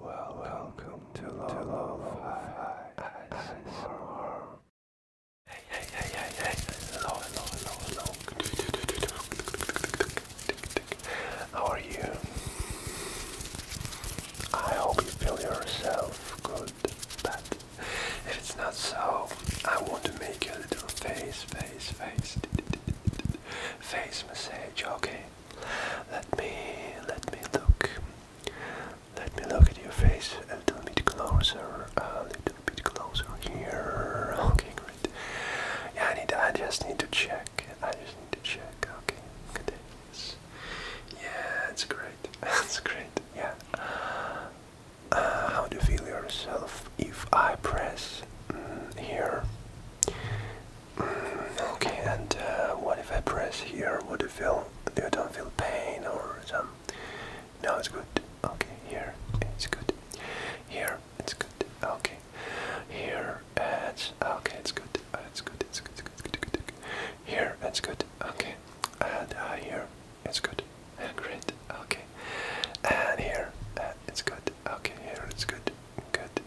Well, welcome to Love High ASMR. Hey, hey, hey, hey, hey, hello, hello, hello, hello. How are you? I hope you feel yourself good, but if it's not so, I want to make a little face, face, face, face massage, okay? Let me let me look. Let me look at your face a little bit closer. A little bit closer here. Okay, great. Yeah, I need. I just need to check. I just need to check. Okay, good. Yeah, it's great. That's great. Yeah. Uh, how do you feel yourself if I press mm, here? okay, and uh, what if I press here? Would you feel Do you don't feel pain or some? No, it's good. Okay, here it's good. Here it's good. Okay, here it's okay. It's good. It's good. It's good. It's good. It's good. It's good. Here it's good. Okay, and uh, here it's good. Ah, great. Okay, and here uh, it's good. Okay, here it's good. Good.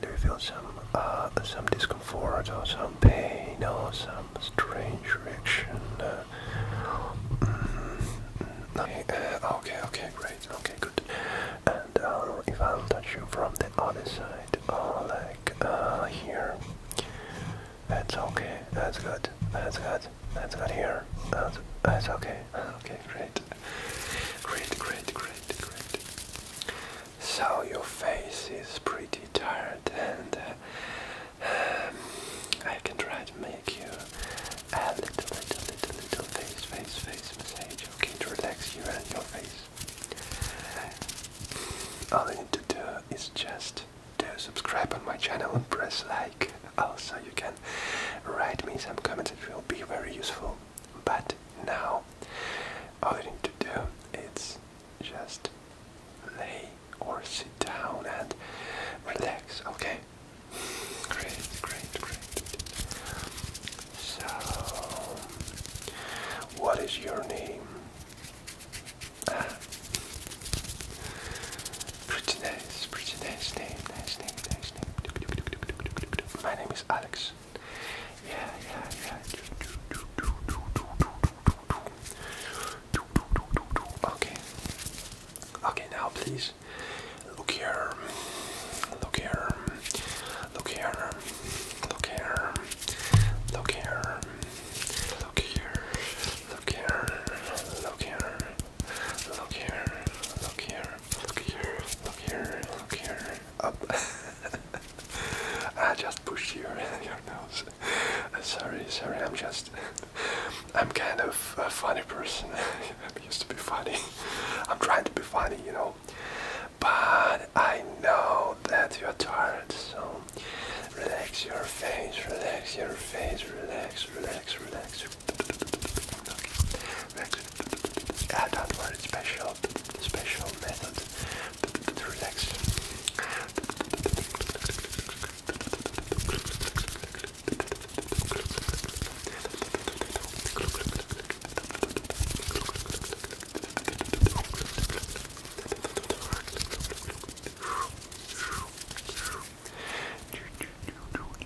do you feel some uh, some discomfort or some pain or some strange reaction? okay, uh, mm, mm, mm. uh, okay, okay, great, okay, good. And if I'll touch you from the other side, or like here, that's okay, that's good, that's good, that's good here, that's okay, okay, great. Great, great, great, So your face is pretty tired and uh, um, I can try to make you a little, little, little, little face, face, face massage, okay, to relax you and your face. All you need to do is just do subscribe on my channel and press like. Also, oh, you can write me some comments, it will be very useful. But now, all you need to do is just lay or sit down and relax, okay? Great, great, great. So, what is your name? Ah. Pretty nice, pretty nice name, nice name, nice name. My name is Alex. Yeah, yeah, yeah. Okay. Okay, now please. Look here. Look here. Look here. Look here. Look here. Look here. Look here. Look here. Look here, look here, look here, look here, look here. Up. I just pushed your your nose. Uh, sorry, sorry. I'm just. I'm kind of a funny person. I used to be funny. I'm trying to be funny, you know. But I know that you are tired, so relax your face, relax your face, relax, relax, relax, relax. I don't want special, special method to relax.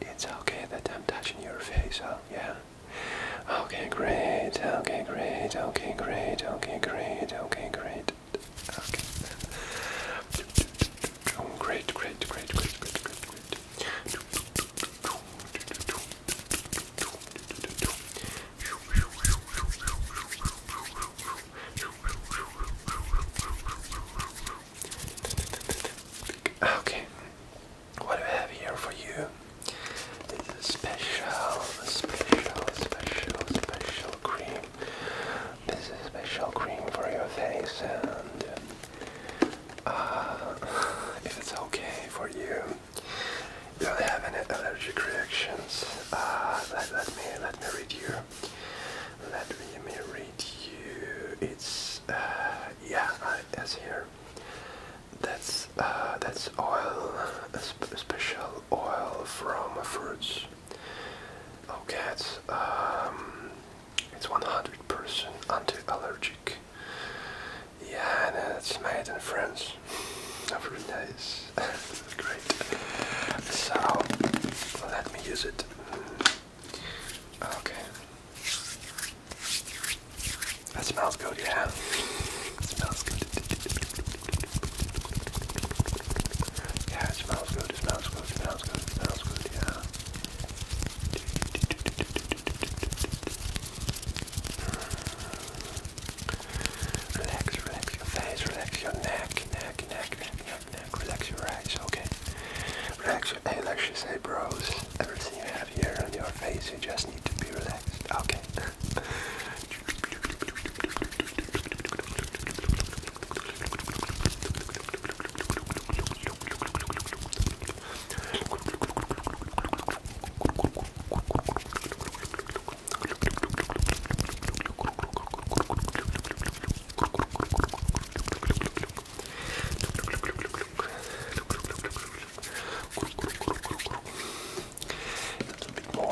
It's okay that I'm touching your face, huh? Yeah? Okay, great, okay, great, okay, great, okay, great, okay, great. Okay. Great, great, great, great, great, great, great. Okay, what do we have here for you? This is a special, special, special, special cream. This is special cream for your face, and uh, if it's okay for you, you don't have any allergic reactions. Uh, let me let me read you. Let me read you. It's that's uh, yeah, as here. That's uh, that's oil, special oil from fruits. Okay, oh, um, it's it's 100% anti-allergic. Yeah, and it's made in France. Very nice, great. So let me use it. Okay. That smells good, yeah. smells good. Yeah, smells good, smells good, smells good, smells good, yeah. Relax, relax your face, relax your neck, neck, neck, neck, neck. Nick, relax your eyes, okay? Relax your eyelashes, eyebrows, everything you have here on your face, you just need to be relaxed, okay? A little bit more,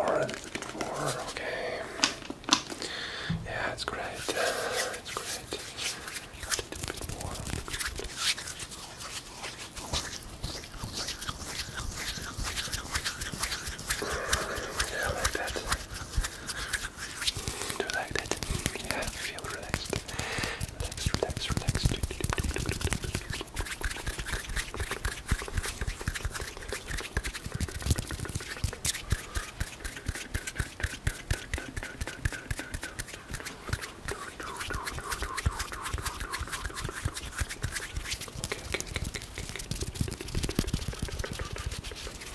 a little bit more, okay. Yeah, it's great. It's great. A little bit more. Yeah, like that like that. Yeah, feel relaxed. Relax, relax, relax. Okay, okay, okay, okay, okay.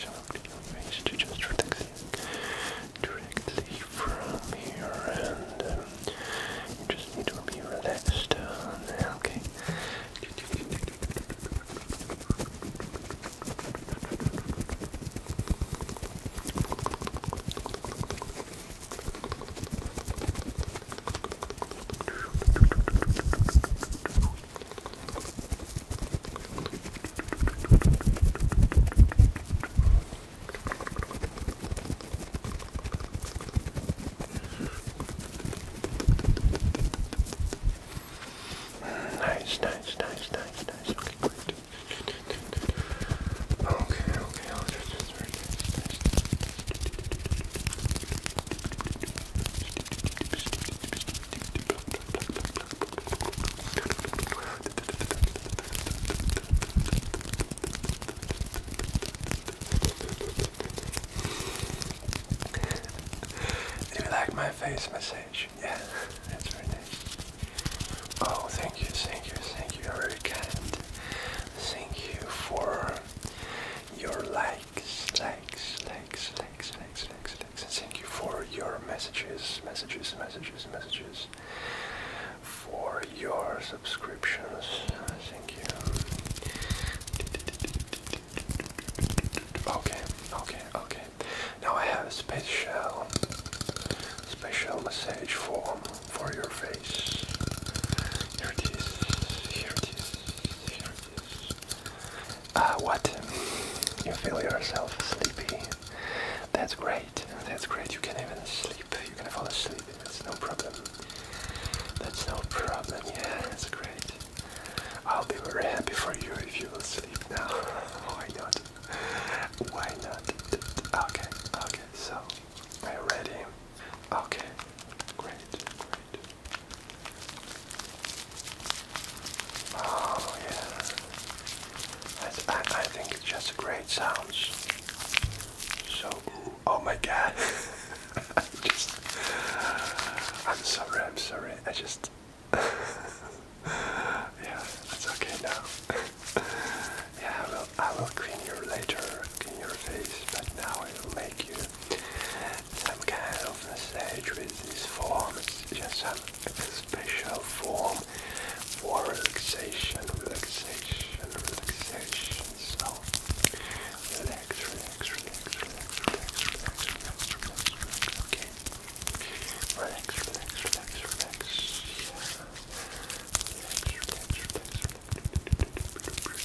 your to just protect you directly from here and you just need to be relaxed, uh, okay? Okay, Nice, nice, nice, nice, nice. Okay, great. Okay, okay, I'll just, just very nice, nice. Do you like my face massage? Yeah, that's very nice. Oh, thank you, thank you, thank you. You're very kind. Thank you for your likes, likes, likes, thanks, thanks, thanks, thanks, and thank you for your messages, messages, messages, messages, for your subscriptions. thank you. Okay, okay, okay. Now I have a special, special message for for your face. Here it is. Here Ah, what? You feel yourself sleepy? That's great. That's great. You can even sleep. You can fall asleep. That's no problem. That's no problem. Yeah, that's great. I'll be very happy for you if you will sleep now. Why not? Why not? Okay, okay. So, are you ready? Okay, great, great. Oh yeah, I, I, think it's just great sounds. So, oh my god, I'm just, I'm sorry, I'm sorry, I just, yeah, that's okay now. yeah, I will, I will clean your later, clean your face, but now I will make you some kind of massage with this form. It's just some special form for relaxation, relaxation, relaxation. So relax, relax, relax, relax, relax, relax, relax, relax, relax. Okay. Relax, relax, relax, relax. Yeah. Relax, relax, relax, relax.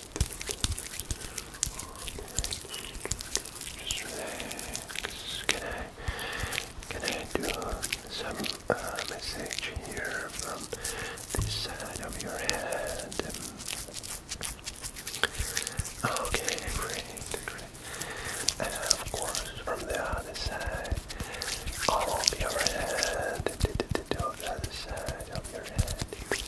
Just relax. Can I, can I do some uh, message here from this side of your head? Okay, great, great. And of course, from the other side, all of your head, to the other side of your head.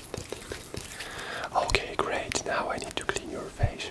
Okay, great. Now I need to clean your face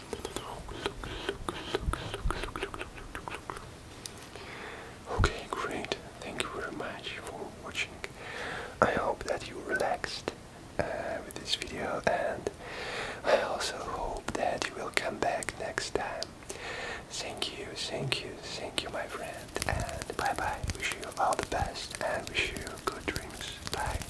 Okay, great. Thank you very much for watching. I hope that you relaxed uh, with this video, and I also hope that you will come back next time. Thank you, thank you, thank you, my friend, and bye bye. Wish you all the best and wish you good dreams. Bye.